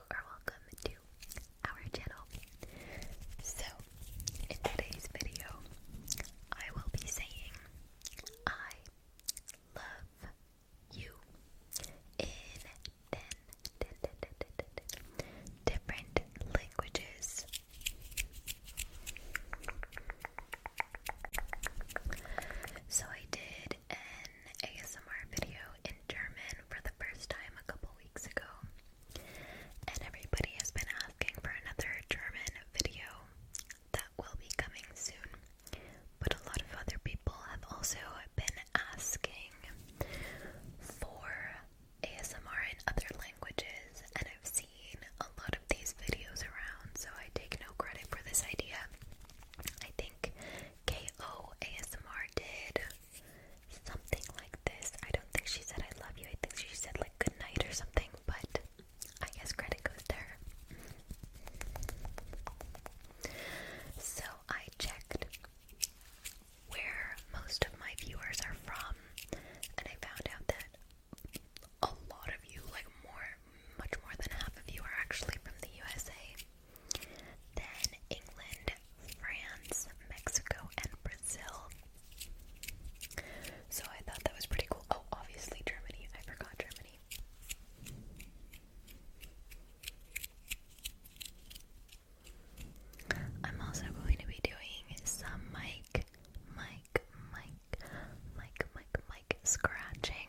or welcome to our channel. So, in today's video, I will be saying I love you in 10 different languages. So, I did did an ASMR video in German for the first time a couple weeks ago, and everybody has been asking for another German video that will be coming soon. But a lot of other people have also been asking for ASMR in other languages, and I've seen a lot of these videos around, so I take no credit for this idea. I think KO ASMR did something like this. I don't think she said I love you. I think she said like good night or something, but I guess credit goes to her. So I checked where most of my viewers are from, and I found out that a lot of you, like more, much more than half of you, are actually from the USA. Then England, France, Mexico, and Brazil. So I thought that was pretty cool. Oh, obviously Germany. I forgot Germany. I'm also going to be doing some mic, mic, mic, mic, mic, mic scratching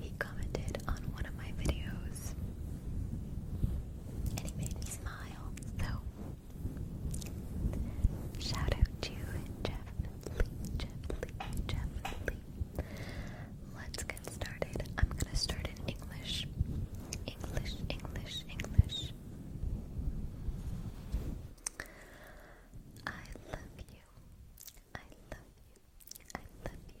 He commented on one of my videos and he made me smile. So, shout out to Jeff Lee, Jeff Lee, Jeff Lee. Let's get started. I'm gonna start in English. English, English, English. I love you. I love you. I love you.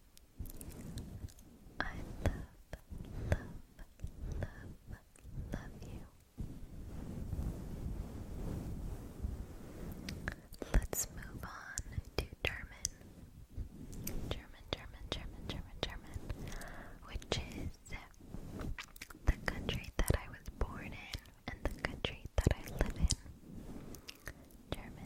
I love, love, love, love you. Let's move on to German. German, German, German, German, German, which is the country that I was born in and the country that I live in. German.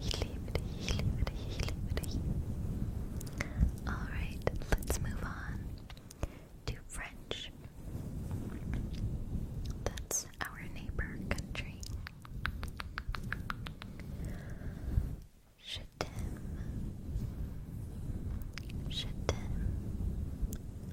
Healy, healy, healy, healy. Alright, let's move on to French. That's our neighbor country. Je t'aime. Je t'aime.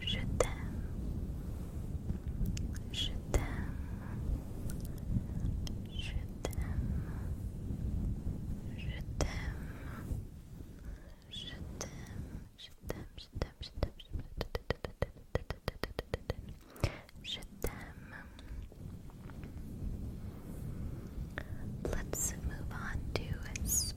Je t'aime. Let's move on to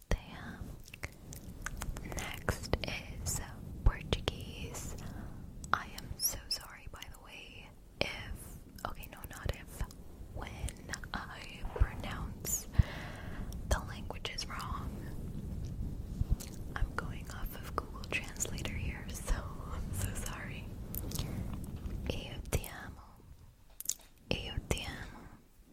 there. Next is Portuguese. I am so sorry, by the way, if, okay, no, not if, when I pronounce the language is wrong. I'm going off of Google Translator here, so I'm so sorry. Eu te amo. Eu te amo.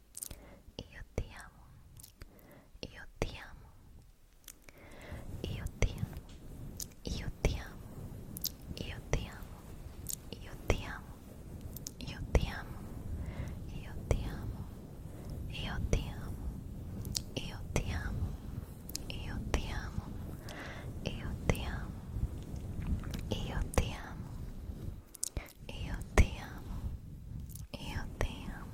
Io ti amo, io ti amo, io ti amo, io ti amo, io ti amo, io ti amo, io ti amo, io ti amo, io ti amo, io ti amo, io ti amo, io ti amo, io ti amo. Io ti amo, io ti amo,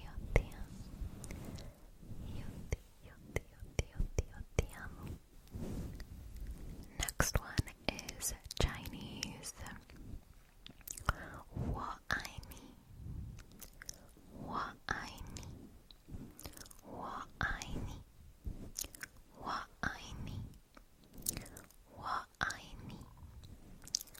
Io ti amo. Io ti, io ti, io ti, io ti, io ti amo. Next one is Chinese. Wo ai ni. Wo ai ni. Wo ai ni. Wo ai ni. Wo ai ni.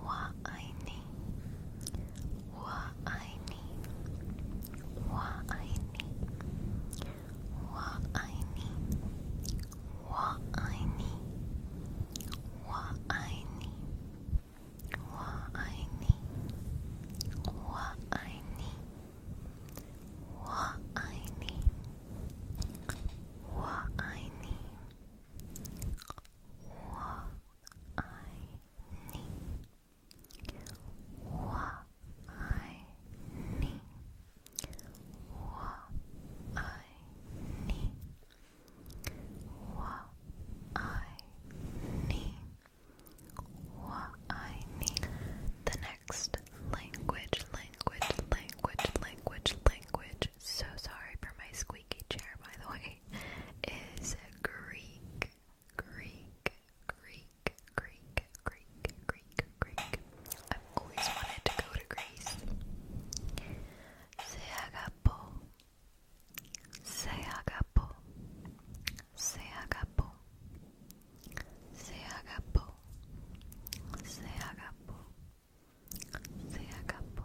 我爱你，我爱你，我爱你，我爱你，我爱你，我爱你，我爱你，我爱你，我爱你，我爱。你。I ni Wa I ni Wa I ni Wa I ni The next language, language, language, language, language. So sorry for my squeaky chair by the way is Greek, Greek, Greek, Greek, Greek, Greek, Greek. I've always wanted to go to Greece. Se agapo, se agapo, se agapo, se agapo, se agapo, se agapo.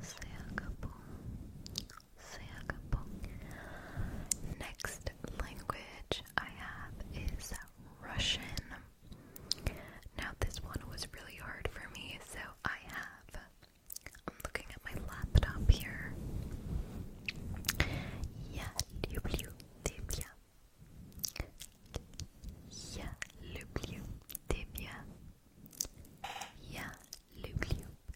Singapore, Singapore. Next language I have is Russian. Now this one was really hard for me, so I have. I'm looking at my laptop here. Я люблю тебя. Я люблю тебя. Я люблю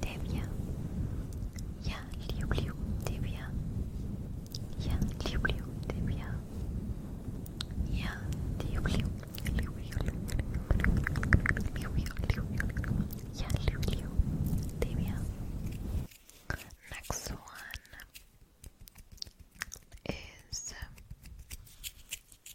T'es bien. Ya, liu, t'es bien. Ya, liu, t'es bien. Ya, Next one is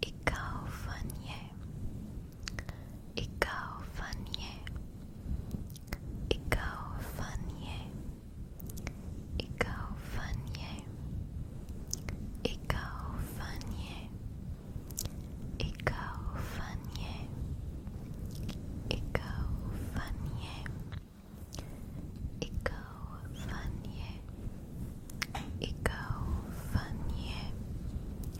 Ikaw van je. Ikaw van je. Ikaw van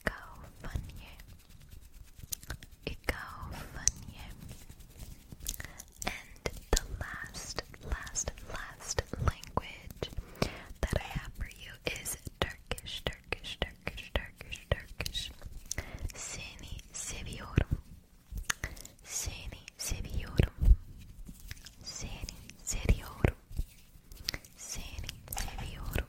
Ik hou van je. And the last, last, last language that I have for you is Turkish, Turkish, Turkish, Turkish, Turkish. Seni seviyorum. Seni seviyorum. Seni seviyorum. Seni seviyorum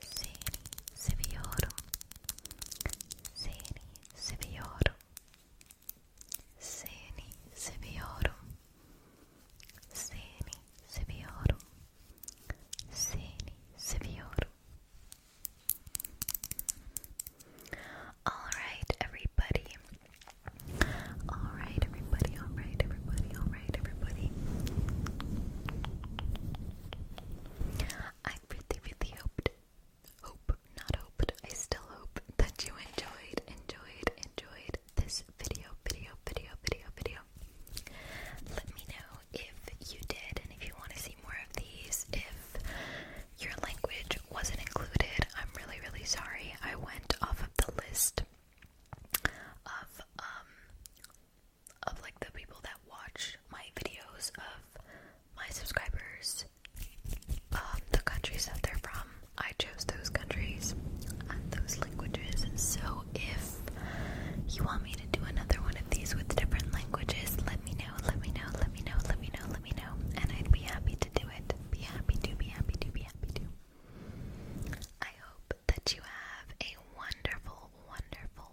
seni seviyorum seni seviyorum seni seviyorum seni seviyorum seni seviyorum all right everybody all right everybody all right everybody all right everybody I really, really hoped, hope, not hoped, I still hope that you enjoyed, enjoyed, enjoyed this video, video, video, video, video. Let me know if you did and if you want to see more of these. If your language wasn't included, I'm really, really sorry. I went off of the list of um of like the people that watch my videos of my subscribers, um, the countries that they're from. I chose those countries and those languages. So if you want me to do another one of these with different languages, let me know, let me know, let me know, let me know, let me know. And I'd be happy to do it. Be happy to, be happy to, be happy to. I hope that you have a wonderful, wonderful,